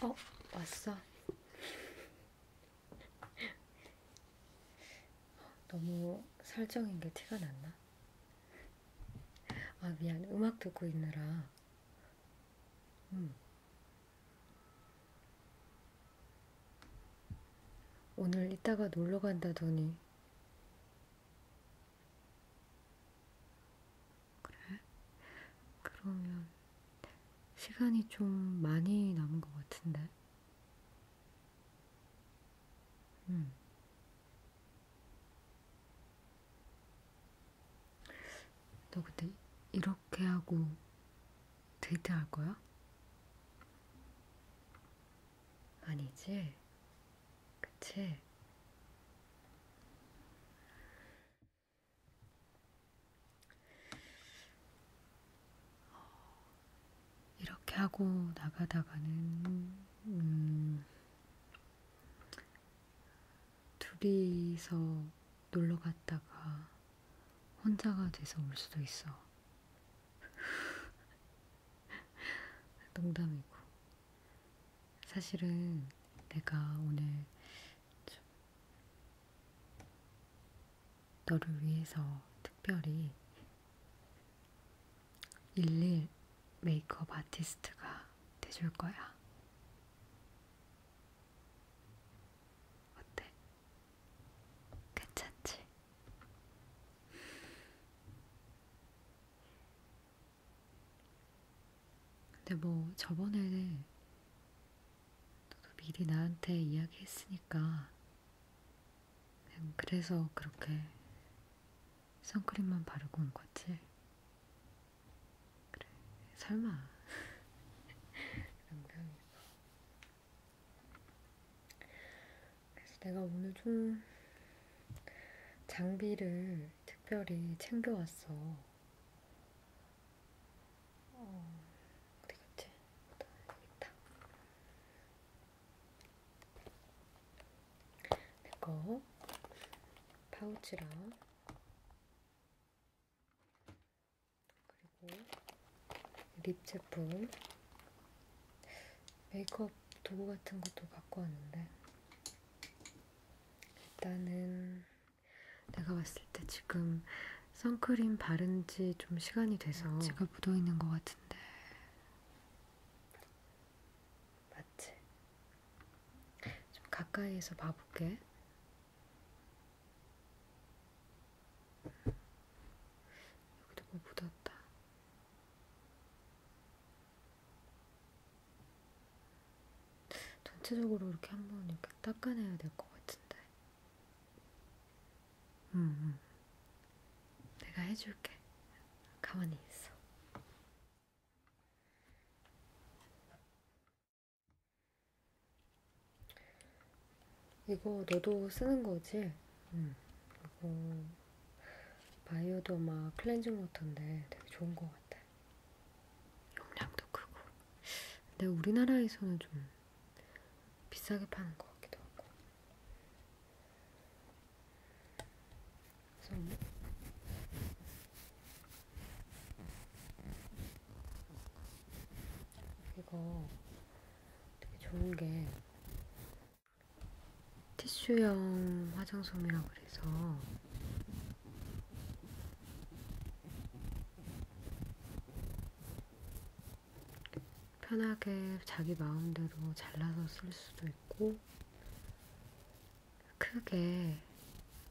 어, 왔어. 너무 설정인 게 티가 났나? 아, 미안. 음악 듣고 있느라. 음. 오늘 이따가 놀러 간다더니 그래? 그러면 시간이 좀 많이 남은 것 같은데 음. 너 근데 이렇게 하고 데이트할 거야? 아니지? 그치? 어, 이렇게 하고 나가다가는 음, 둘이서 놀러 갔다가 혼자가 돼서 올 수도 있어. 농담이고. 사실은 내가 오늘 좀 너를 위해서 특별히 일일 메이크업 아티스트가 돼 줄 거야. 어때? 괜찮지? 근데 뭐 저번에 너도 미리 나한테 이야기했으니까 그냥 그래서 그렇게 선크림만 바르고 온 거지? 그래, 설마. 그런 표현이 뭐. 그래서 내가 오늘 좀 장비를 특별히 챙겨왔어. 어, 어디 갔지? 여기 있다. 내거 파우치랑 그리고 립 제품, 메이크업 도구 같은 것도 갖고 왔는데 일단은 내가 봤을 때 지금 선크림 바른 지 좀 시간이 돼서 지가 묻어있는 것 같은데 맞지? 좀 가까이에서 봐볼게. 여기도 뭐 묻었다. 전체적으로 이렇게 한번 이렇게 닦아내야 될 것 같은데. 응, 음, 응. 음. 내가 해줄게. 가만히 있어. 이거 너도 쓰는 거지? 응. 이거 바이오더마 클렌징 워터인데 되게 좋은 것 같아. 용량도 크고. 근데 우리나라에서는 좀 비싸게 파는 것 같기도 하고. 그래서 뭐? 이거 되게 좋은 게 티슈형 화장솜이라고 그래서 편하게 자기 마음대로 잘라서 쓸 수도 있고 크게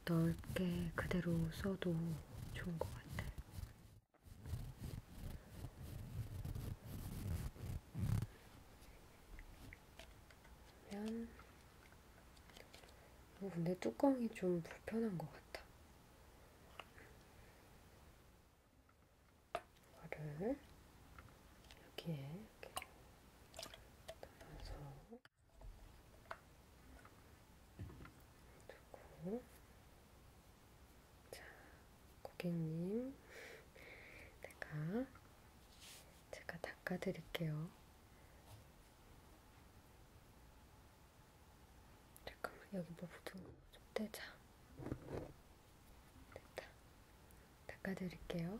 넓게 그대로 써도 좋은 것 같아요. 그러면 어, 근데 뚜껑이 좀 불편한 것 같아. 이거를 여기에 이렇게 담아서 두고 자, 고객님, 제가 제가 닦아드릴게요. 잠깐만 여기 뭐 붙은 거좀 떼자. 됐다. 닦아드릴게요.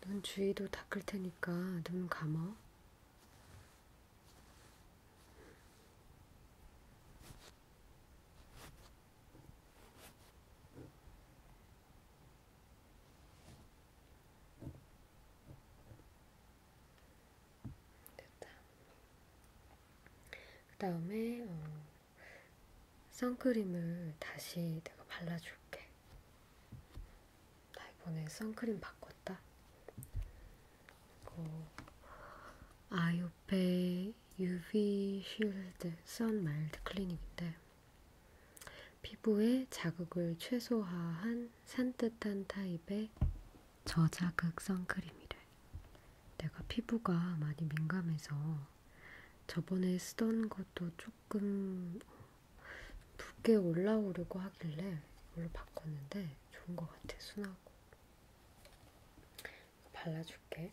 눈 주위도 닦을 테니까 눈 감아. 됐다. 그 다음에 어, 선크림을 다시 내가 발라줄게. 나 이번에 선크림 바꿨다. 이거 아이오페 UV 쉴드 선 마일드 클리닉인데 피부에 자극을 최소화한 산뜻한 타입의 저자극 선크림이래. 내가 피부가 많이 민감해서 저번에 쓰던 것도 조금 붓게 올라오려고 하길래 이걸로 바꿨는데 좋은 것 같아, 순하고. 발라줄게.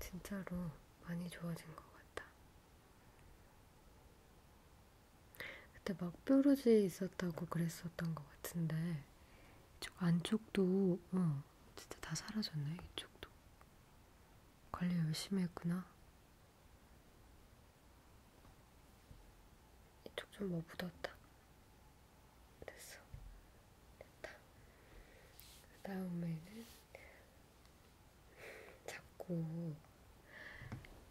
진짜로 많이 좋아진 것 같아. 그때 막 뾰루지 있었다고 그랬었던 것 같은데 이쪽 안쪽도 어, 진짜 다 사라졌네 이쪽도 관리 열심히 했구나 이쪽 좀 뭐 묻었다 됐어 됐다 그 다음에는 자꾸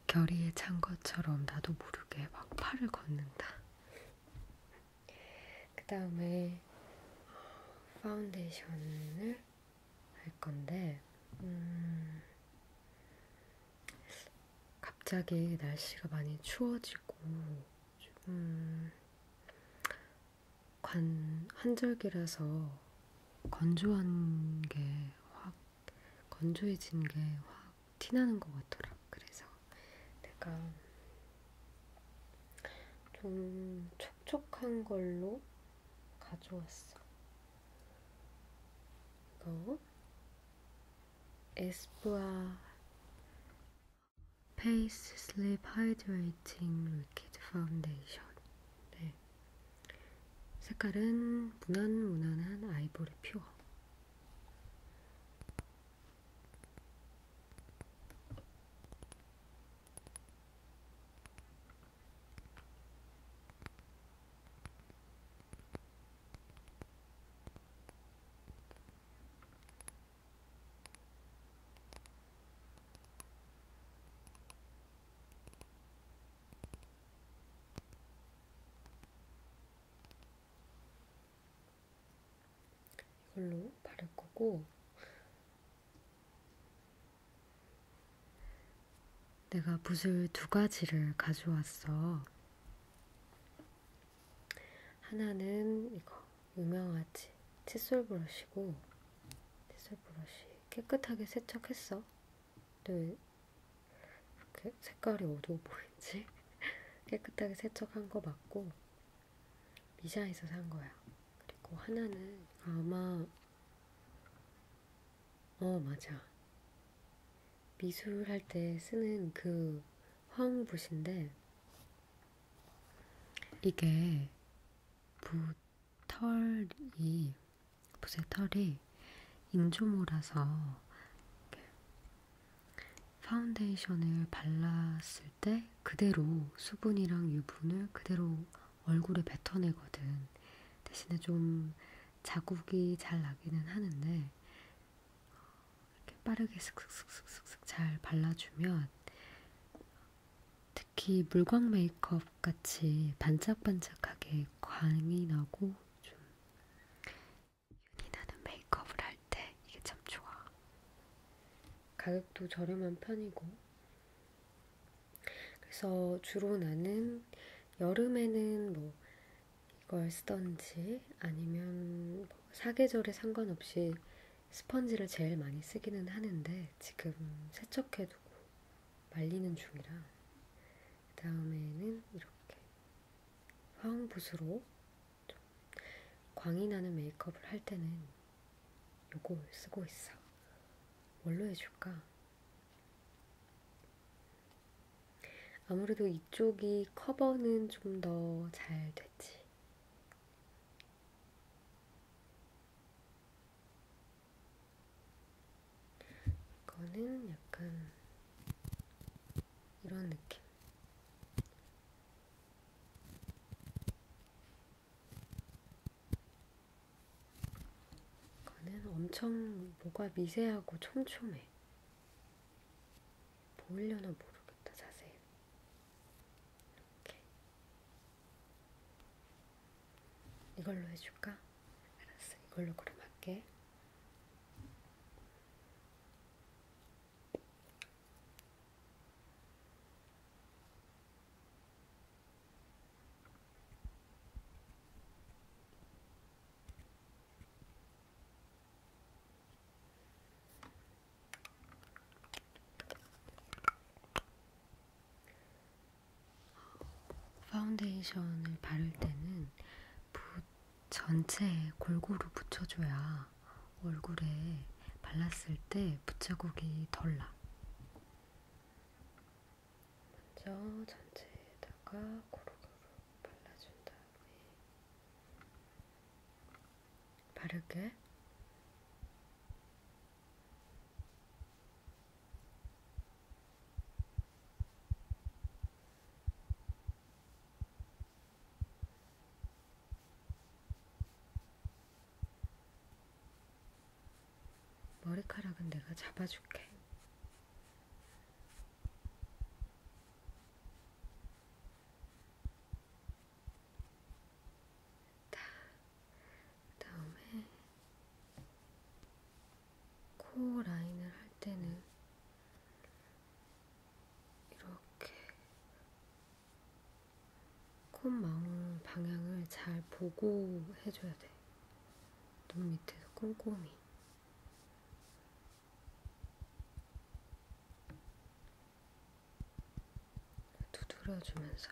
결의에 찬 것처럼 나도 모르게 막 팔을 걷는다. 그 다음에 파운데이션을 할 건데, 음, 갑자기 날씨가 많이 추워지고, 음, 관, 환절기라서 건조한 게확 건조해진 게 확 티나는 것 같더라. 그래서 내가 좀 촉촉한 걸로 가져왔어. 이거 에스쁘아 페이스 슬립 하이드레이팅 리퀴드 파운데이션. 네. 색깔은 무난무난한 아이보리 퓨어. 이걸로 바를 거고, 내가 붓을 두 가지를 가져왔어. 하나는 이거 유명하지 칫솔 브러쉬고 칫솔 브러쉬 깨끗하게 세척했어. 늘 네. 이렇게 색깔이 어두워 보이지? 깨끗하게 세척한 거 맞고 미샤에서 산 거야. 그리고 하나는 아마 어 맞아 미술할 때 쓰는 그 화홍붓인데 이게 붓 털이 붓의 털이 인조모라서 파운데이션을 발랐을 때 그대로 수분이랑 유분을 그대로 얼굴에 뱉어내거든. 대신에 좀 자국이 잘 나기는 하는데 이렇게 빠르게 슥슥슥슥슥 잘 발라주면 특히 물광 메이크업 주먹같이 반짝반짝하게 광이 나고 좀 윤이 나는 메이크업을 할 때 이게 참 좋아. 가격도 저렴한 편이고 그래서 주로 나는 여름에는 뭐 이걸 쓰던지 아니면 뭐 사계절에 상관없이 스펀지를 제일 많이 쓰기는 하는데 지금 세척해두고 말리는 중이라 그 다음에는 이렇게 화홍붓으로 좀 광이 나는 메이크업을 할 때는 요거 쓰고 있어. 뭘로 해줄까? 아무래도 이쪽이 커버는 좀 더 잘 됐지. 이거는 약간 이런 느낌. 이거는 엄청 뭐가 미세하고 촘촘해. 보이려나 모르겠다, 자세히. 이렇게. 이걸로 해줄까? 알았어. 이걸로 그럼 할게. 파운데이션을 바를 때는 붓 전체에 골고루 붙여줘야 얼굴에 발랐을 때 붓자국이 덜 나. 먼저 전체에다가 고루고루 발라준 다음에 바르게 머리카락은 내가 잡아줄게. 다, 다음에 코 라인을 할 때는 이렇게 콧망울 방향을 잘 보고 해줘야 돼. 눈 밑에서 꼼꼼히. 두드려주면서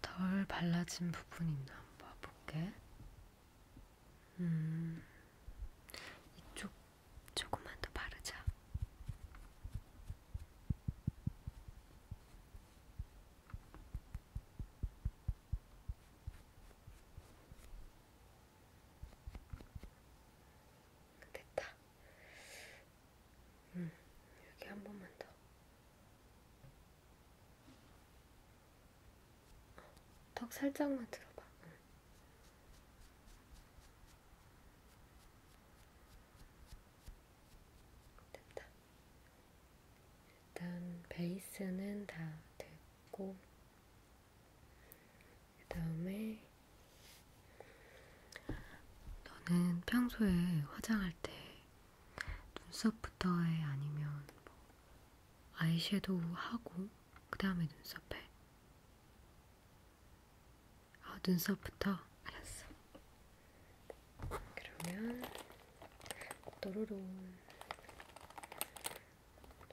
덜 발라진 부분 있나 한번 봐볼게. 음, 이쪽 조금만 더 바르자. 됐다. 음, 여기 한 번만 더. 어, 턱 살짝만 들어봐. 응. 음. 됐다. 일단 베이스는 다 됐고 그 다음에 너는 평소에 화장할 때 눈썹부터 해? 아니면 뭐 아이섀도우 하고 그 다음에 눈썹 해? 아, 눈썹부터? 알았어. 그러면 또로로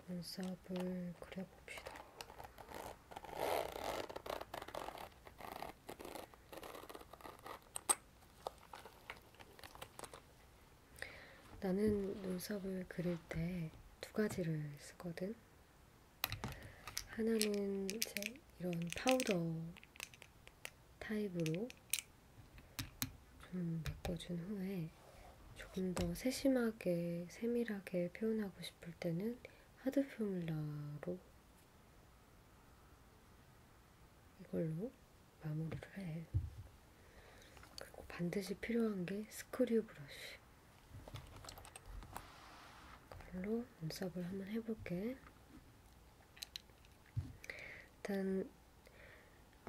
눈썹을 그려봅시다. 나는 눈썹을 그릴 때 두 가지를 쓰거든. 하나는 이제 이런 파우더 타입으로 좀 메꿔준 후에 조금 더 세심하게 세밀하게 표현하고 싶을 때는 하드 퓨뮬러로 이걸로 마무리를 해. 그리고 반드시 필요한 게 스크류 브러쉬. 이걸로 눈썹을 한번 해볼게. 일단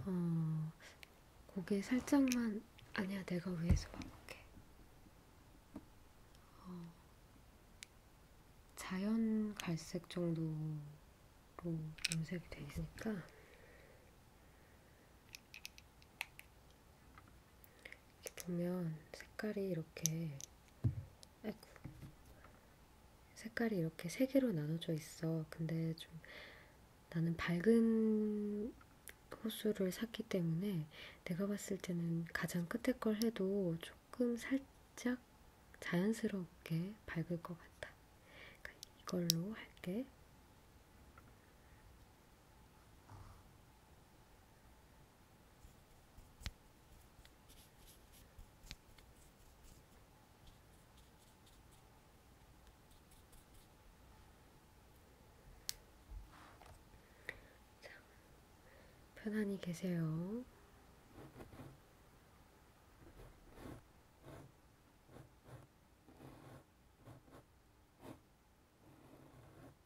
어, 고개 살짝만 아니야 내가 위에서 봐볼게 어, 자연 갈색 정도로 염색이 되어 있으니까 이렇게 보면 색깔이 이렇게 아이고, 색깔이 이렇게 세 개로 나눠져 있어. 근데 좀 나는 밝은 호수를 샀기 때문에 내가 봤을 때는 가장 끝에 걸 해도 조금 살짝 자연스럽게 밝을 것 같다. 그러니까 이걸로 할게. 자, 편안히 계세요.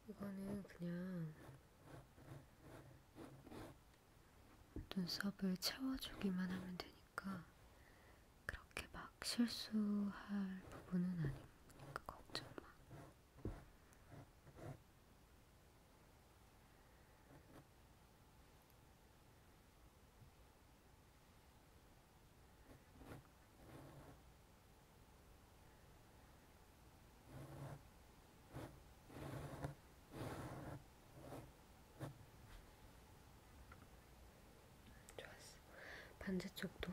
이거는 그냥 눈썹을 채워주기만 하면 되니까 그렇게 막 실수할 부분은 아니고 걱정 마. 좋았어. 반대쪽도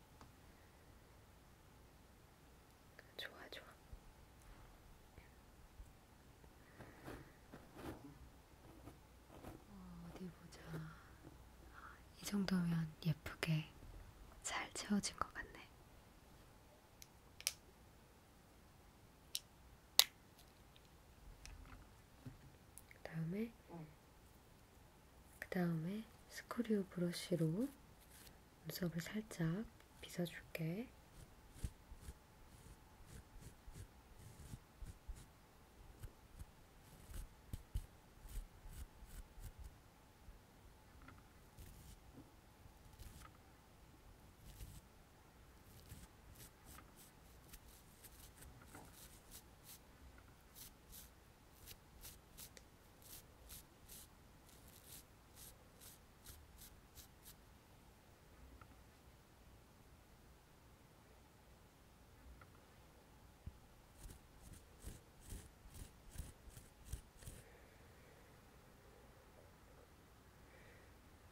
좋아, 좋아. 어, 어디 보자. 아, 이 정도면 예쁘게 잘 채워진 것 같네. 그 다음에 어. 그 다음에 스크류 브러쉬로 눈썹을 살짝 빗어줄게.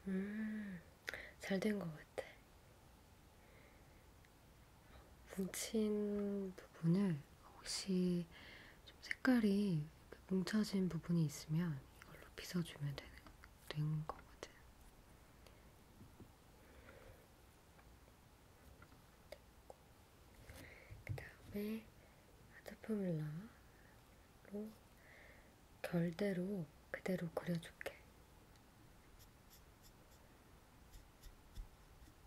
음, 잘 된 것 같아. 뭉친 부분을 혹시 좀 색깔이 뭉쳐진 부분이 있으면 이걸로 빗어주면 되는, 되는 거거든. 그 다음에 하드포뮬러로 결대로 그대로 그려줄게.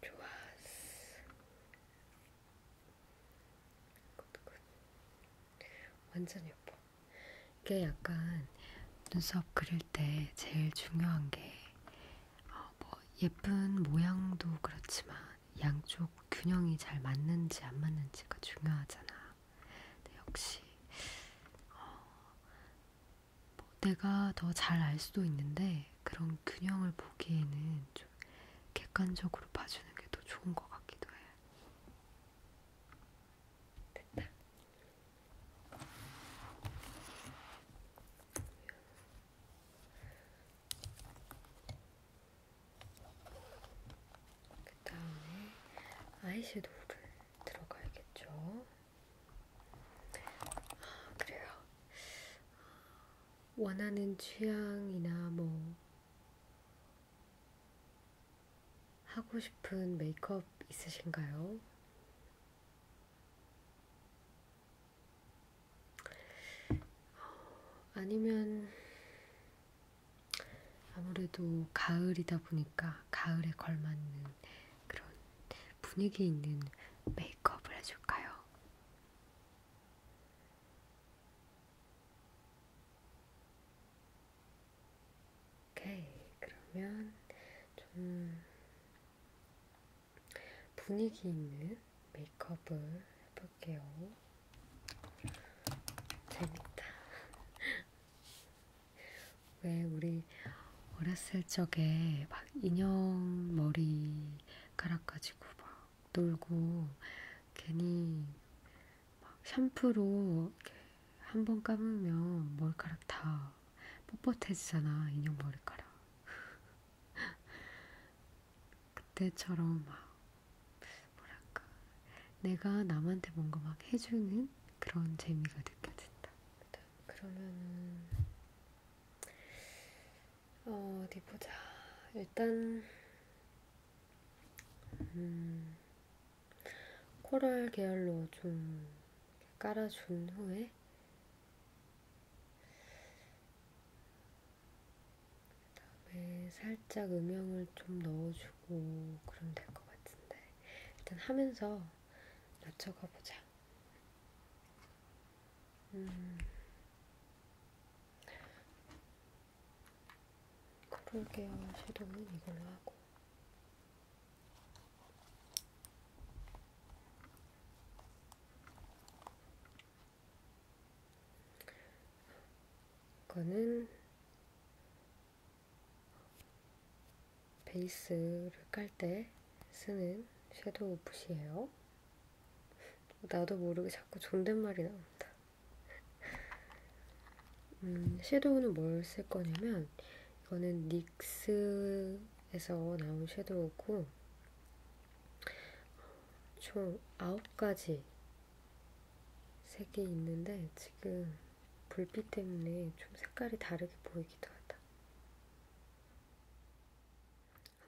좋았어. 굿, 굿. 완전 예뻐. 이게 약간 눈썹 그릴 때 제일 중요한 게뭐 어, 뭐 예쁜 모양도 그렇지만 양쪽 균형이 잘 맞는지 안 맞는지가 중요하잖아. 근데 역시 어, 뭐 내가 더 잘 알 수도 있는데 그런 균형을 보기에는 좀 객관적으로 봐주는 게 더 좋은 것 같기도 해요. 됐다. 그 다음에 아이섀도우를 들어가야겠죠. 아, 그래요. 원하는 취향이나 뭐 하고 싶은 메이크업 있으신가요? 아니면 아무래도 가을이다 보니까 가을에 걸맞는 그런 분위기 있는 메이크업을 해줄까요? 오케이, 그러면 좀 분위기 있는 메이크업을 해볼게요. 재밌다. 왜 우리 어렸을 적에 막 인형 머리 갈아가지고 막 놀고 괜히 막 샴푸로 한 번 감으면 머리카락 다 뻣뻣해지잖아 인형 머리카락 그때처럼 막 뭐랄까 내가 남한테 뭔가 막 해주는 그런 재미가 느껴진다. 그러면은 어, 어디 보자. 일단 음, 코랄 계열로 좀 깔아준 후에 그다음에 살짝 음영을 좀 넣어주고 그럼 될 것 같은데 일단 하면서 낮춰가 보자. 음. 코롤 계열 섀도우는 이걸로 하고. 이거는 베이스를 깔 때 쓰는 섀도우 붓이에요. 나도 모르게 자꾸 존댓말이 나온다. 음, 섀도우는 뭘 쓸 거냐면 이거는 닉스에서 나온 섀도우고 총 9가지 색이 있는데 지금 불빛 때문에 좀 색깔이 다르게 보이기도 하다.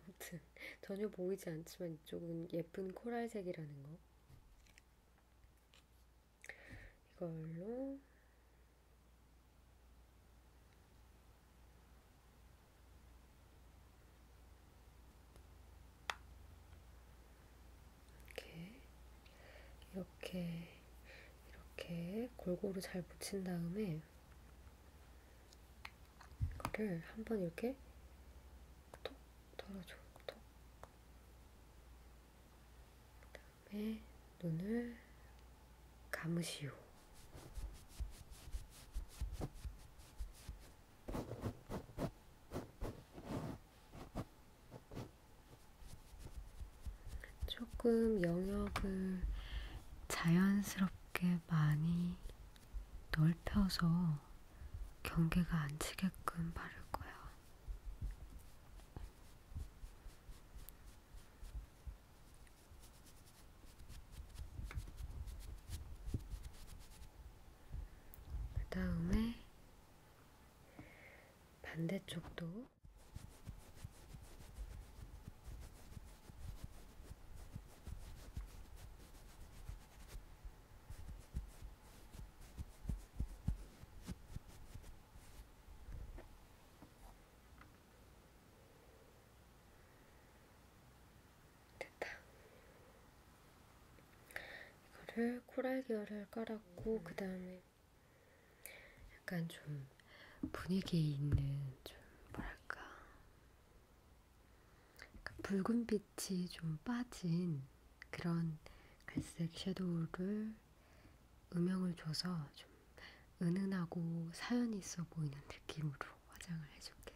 아무튼 전혀 보이지 않지만 이쪽은 예쁜 코랄색이라는 거. 이걸로 이렇게 이렇게 이렇게 골고루 잘 붙인 다음에 이거를 한번 이렇게 톡 털어줘 톡 그다음에 눈을 감으시오 조금 영역을 자연스럽게 많이 넓혀서 경계가 안 치게끔 바를 거야. 그 다음에 반대쪽도 있고 됐다. 이거를 코랄 계열을 깔았고 그 다음에 약간 좀 분위기 있는 좀 뭐랄까 약간 붉은 빛이 좀 빠진 그런 갈색 섀도우를 음영을 줘서 좀 은은하고 사연이 있어 보이는 느낌으로 화장을 해줄게.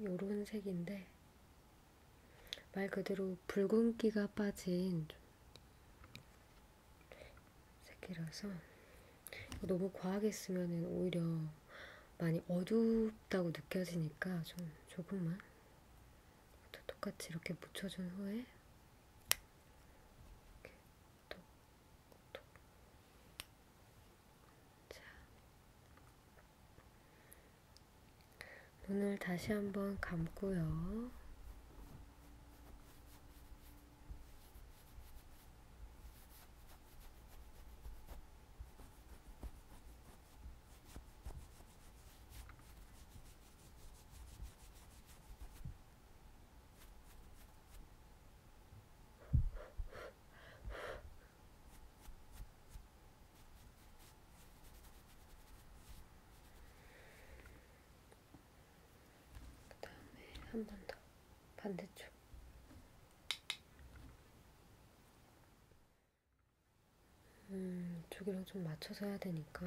요런 색인데 말 그대로 붉은기가 빠진 색이라서 너무 과하게 쓰면 오히려 많이 어둡다고 느껴지니까 좀 조금만 똑같이 이렇게 묻혀준 후에 이렇게 톡톡 자 눈을 다시 한번 감고요. 그 다음에 한 번 더 반대쪽 음, 이쪽이랑 좀 맞춰서 해야 되니까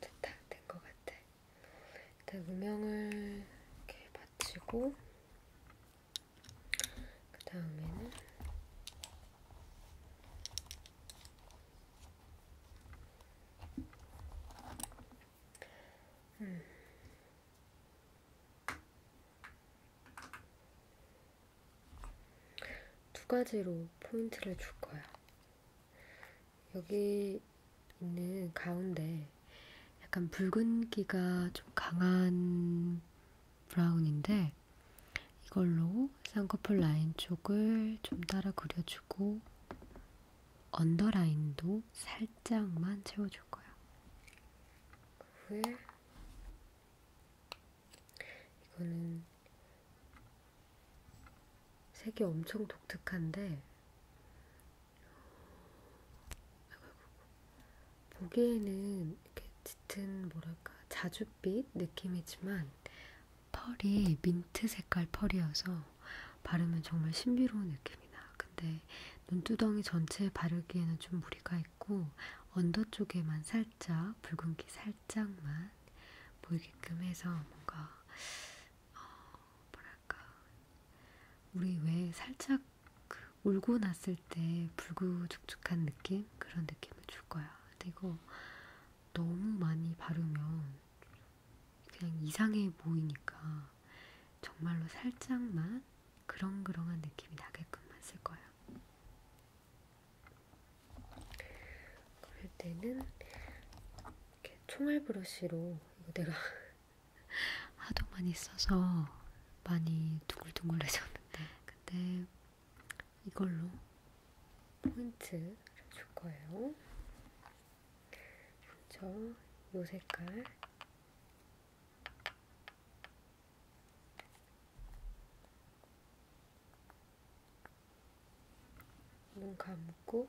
좋다, 된 것 같아. 일단 음영을 이렇게 받치고, 그 다음에는 음. 두 가지로 포인트를 줄 거야. 여기 있는 가운데 약간 붉은기가 좀 강한 브라운인데 네. 이걸로 쌍꺼풀 라인 쪽을 좀 따라 그려주고 언더라인도 살짝만 채워줄 거야. 이거는 색이 엄청 독특한데 보기에는 이렇게 짙은 뭐랄까 자줏빛 느낌이지만 펄이 민트 색깔 펄이어서 바르면 정말 신비로운 느낌이 나. 근데 눈두덩이 전체에 바르기에는 좀 무리가 있고 언더 쪽에만 살짝 붉은기 살짝만 보이게끔 해서 뭔가 어, 뭐랄까 우리 왜 살짝 그 울고 났을 때 불구죽죽한 느낌 그런 느낌을 줄 거야. 근데 이거 너무 많이 바르면 그냥 이상해 보이니까 정말로 살짝만 그렁그렁한 느낌이 나게끔만 쓸 거야. 그럴 때는 이렇게 총알 브러쉬로 이거 내가 하도 많이 써서 많이 둥글둥글해졌는데 근데 이걸로 포인트를 줄 거예요. 먼저 이 색깔 눈 감고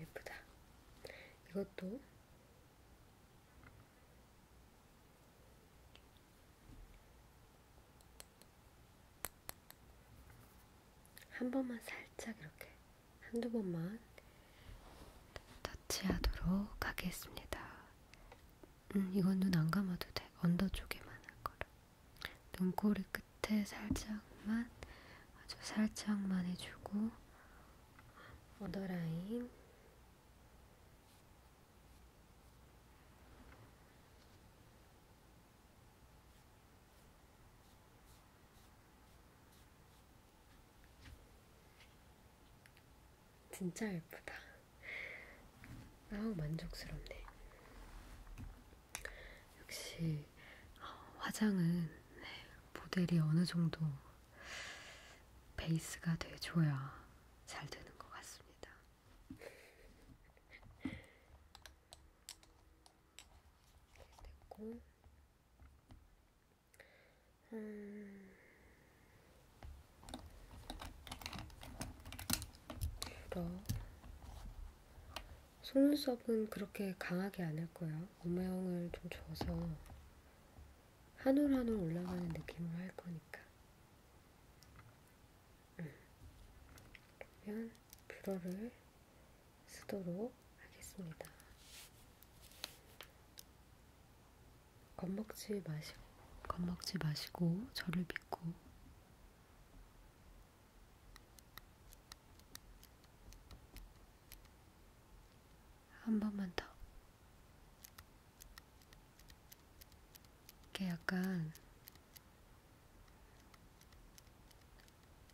예쁘다. 이것도 한 번만 살짝 이렇게 한두 번만 터치하도록 하겠습니다. 음, 이건 눈 안 감아도 돼. 언더 쪽에만 할 거라. 눈꼬리 끝에 살짝만, 아주 살짝만 해주고, 언더라인. 진짜 예쁘다. 아우 만족스럽네. 역시 어, 화장은 네, 모델이 어느 정도 베이스가 돼줘야 잘 되는 것 같습니다. 됐고 음... 불어 속눈썹은 그렇게 강하게 안 할 거야. 모양을 좀 줘서 한올 한올 올라가는 느낌으로 할 거니까. 음. 그러면 뷰러를 쓰도록 하겠습니다. 겁먹지 마시고, 겁먹지 마시고, 저를 믿고, 한 번만 더. 이게 약간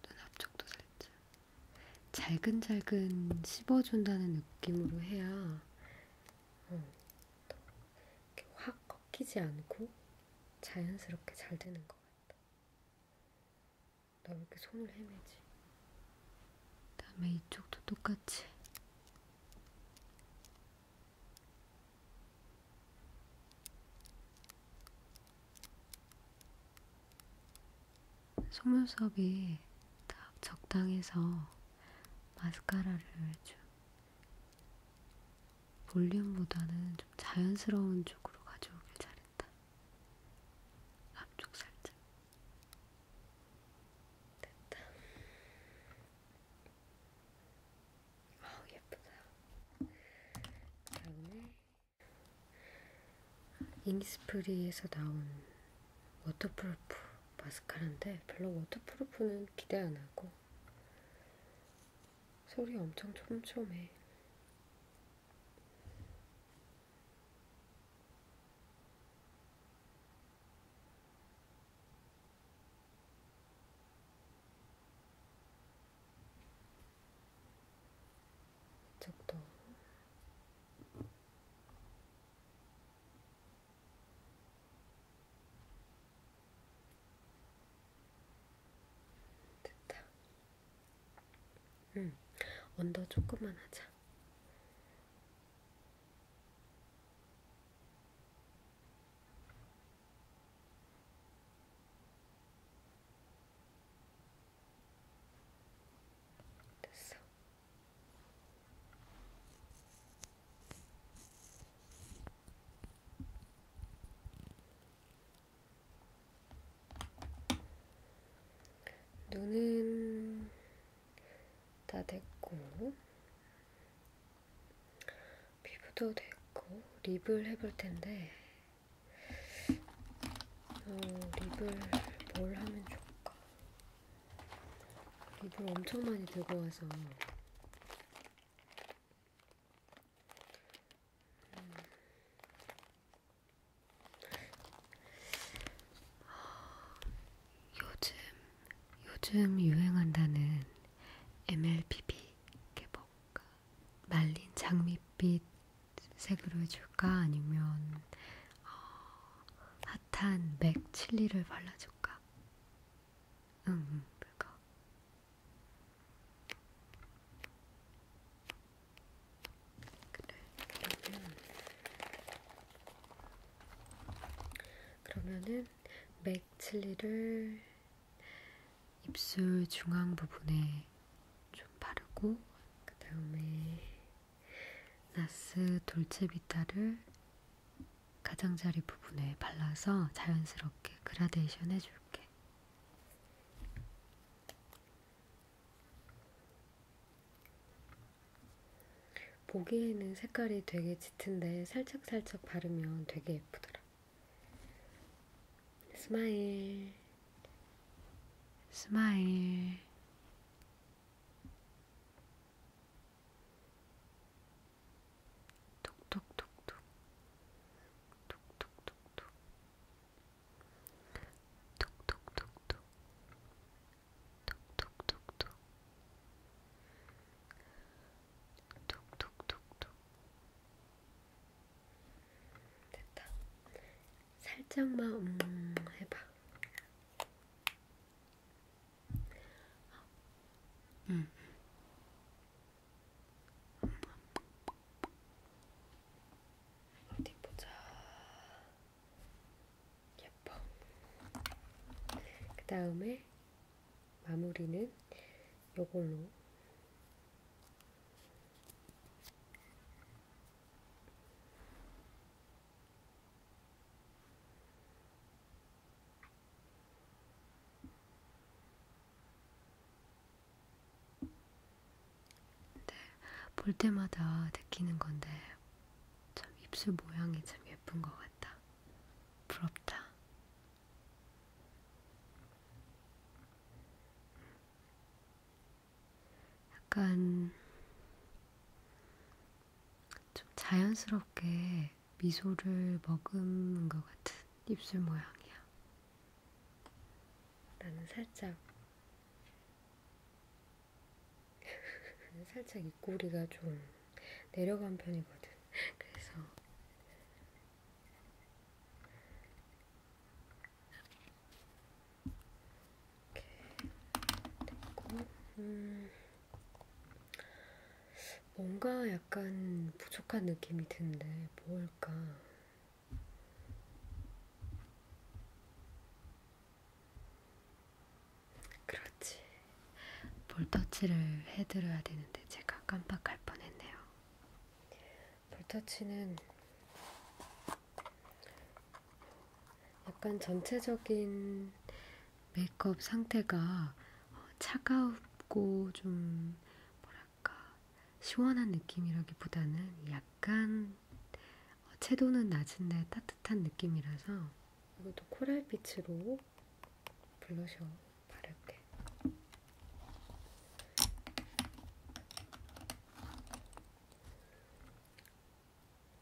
눈 앞쪽도 살짝 잘근잘근 씹어준다는 느낌으로 해야 어, 이렇게 확 꺾이지 않고 자연스럽게 잘 되는 것 같아. 나왜 이렇게 손을 헤매지? 그다음에 이쪽도 똑같이 속눈썹이 딱 적당해서 마스카라를 좀 볼륨보다는 좀 자연스러운 쪽으로 가져오길 잘했다. 앞쪽 살짝. 됐다. 아 예쁘다. 다음에 잉스프리에서 나온 워터프루프 마스카라인데 별로 워터프루프는 기대 안 하고 소리 엄청 촘촘해. 이쪽도 됐다. 응, 언더 조금만 하자. 됐어. 눈은 다 됐고 피부도 됐고 립을 해볼 텐데 어, 립을 뭘 하면 좋을까? 립을 엄청 많이 들고 와서 음. 요즘 요즘 유행한다는 MLBB 해볼까? 말린 장밋빛 색으로 해줄까? 아니면 어, 핫한 맥 칠리를 발라줄까? 응, 응 그거. 그래, 그러면 그러면은 맥 칠리를 입술 중앙 부분에 좀 바르고 그 다음에 나스 돌체비타를 가장자리 부분에 발라서 자연스럽게 그라데이션 해줄게. 보기에는 색깔이 되게 짙은데 살짝살짝 바르면 되게 예쁘더라. Smile. Smile. 톡톡톡톡. 톡톡톡톡. 톡톡톡톡. 톡톡톡톡. 톡톡톡톡. 톡톡톡톡. 됐다. 살짝만 음, 해봐. 음. 어디 보자. 예뻐. 그 다음에 마무리는 요걸로 네, 볼 때마다 느끼는 건데 참 입술 모양이 참 예쁜 것 같다. 부럽다. 약간 좀 자연스럽게 미소를 머금은 것 같은 입술 모양이야. 나는 살짝 살짝 입꼬리가 좀 내려간 편이거든. 그래서 됐고, 음, 뭔가 약간 부족한 느낌이 드는데 뭘까? 그렇지. 볼터치를 해드려야 되는데 제가 깜빡할 뻔했네요. 볼터치는 약간 전체적인 메이크업 상태가 차가우고 좀 뭐랄까 시원한 느낌이라기보다는 약간 채도는 낮은데 따뜻한 느낌이라서 이것도 코랄빛으로 블러셔 바를게.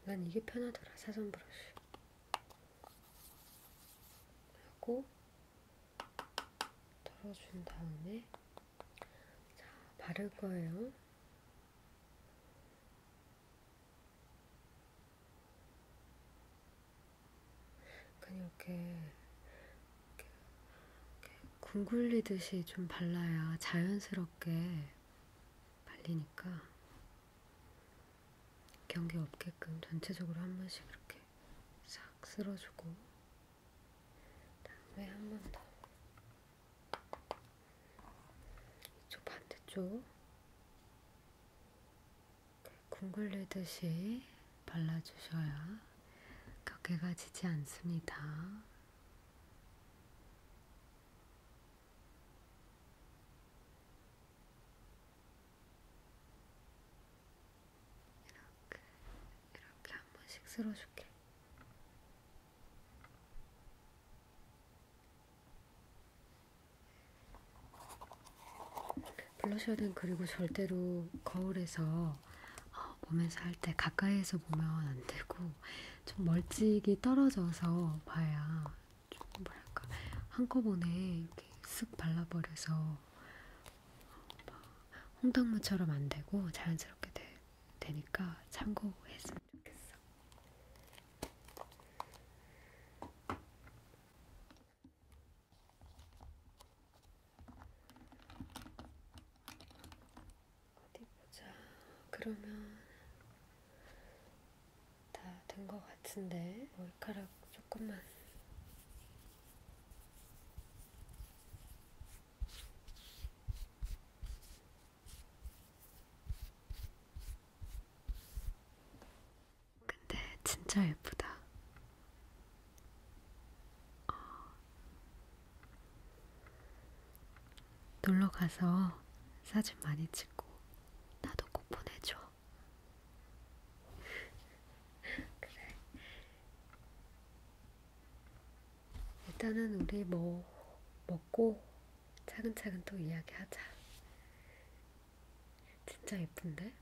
난 이게 편하더라, 사선 브러쉬. 하고 덜어준 다음에 자, 바를 거예요. 그냥 이렇게, 이렇게, 이렇게 둥글리듯이 좀 발라야 자연스럽게 발리니까 경계 없게끔 전체적으로 한 번씩 이렇게 싹 쓸어주고 다음에 한 번 더 이쪽 반대쪽 콩글리듯이 발라주셔야 격해가 지지 않습니다. 이렇게, 이렇게 한 번씩 쓸어줄게. 블러셔는 그리고 절대로 거울에서 보면서 어, 할때 가까이에서 보면 안 되고 좀 멀찍이 떨어져서 봐야 좀 뭐랄까 한꺼번에 이렇게 쓱 발라버려서 어, 홍당무처럼 안 되고 자연스럽게 되, 되니까 참고했으면 좋겠어. 어디 보자. 그러면 다 된 것 같은데 머리카락 조금만. 근데 진짜 예쁘다. 어, 놀러 가서 사진 많이 찍고 나도 꼭 보내줘. 그래. 일단은 우리 뭐 먹고 차근차근 또 이야기하자. 진짜 예쁜데?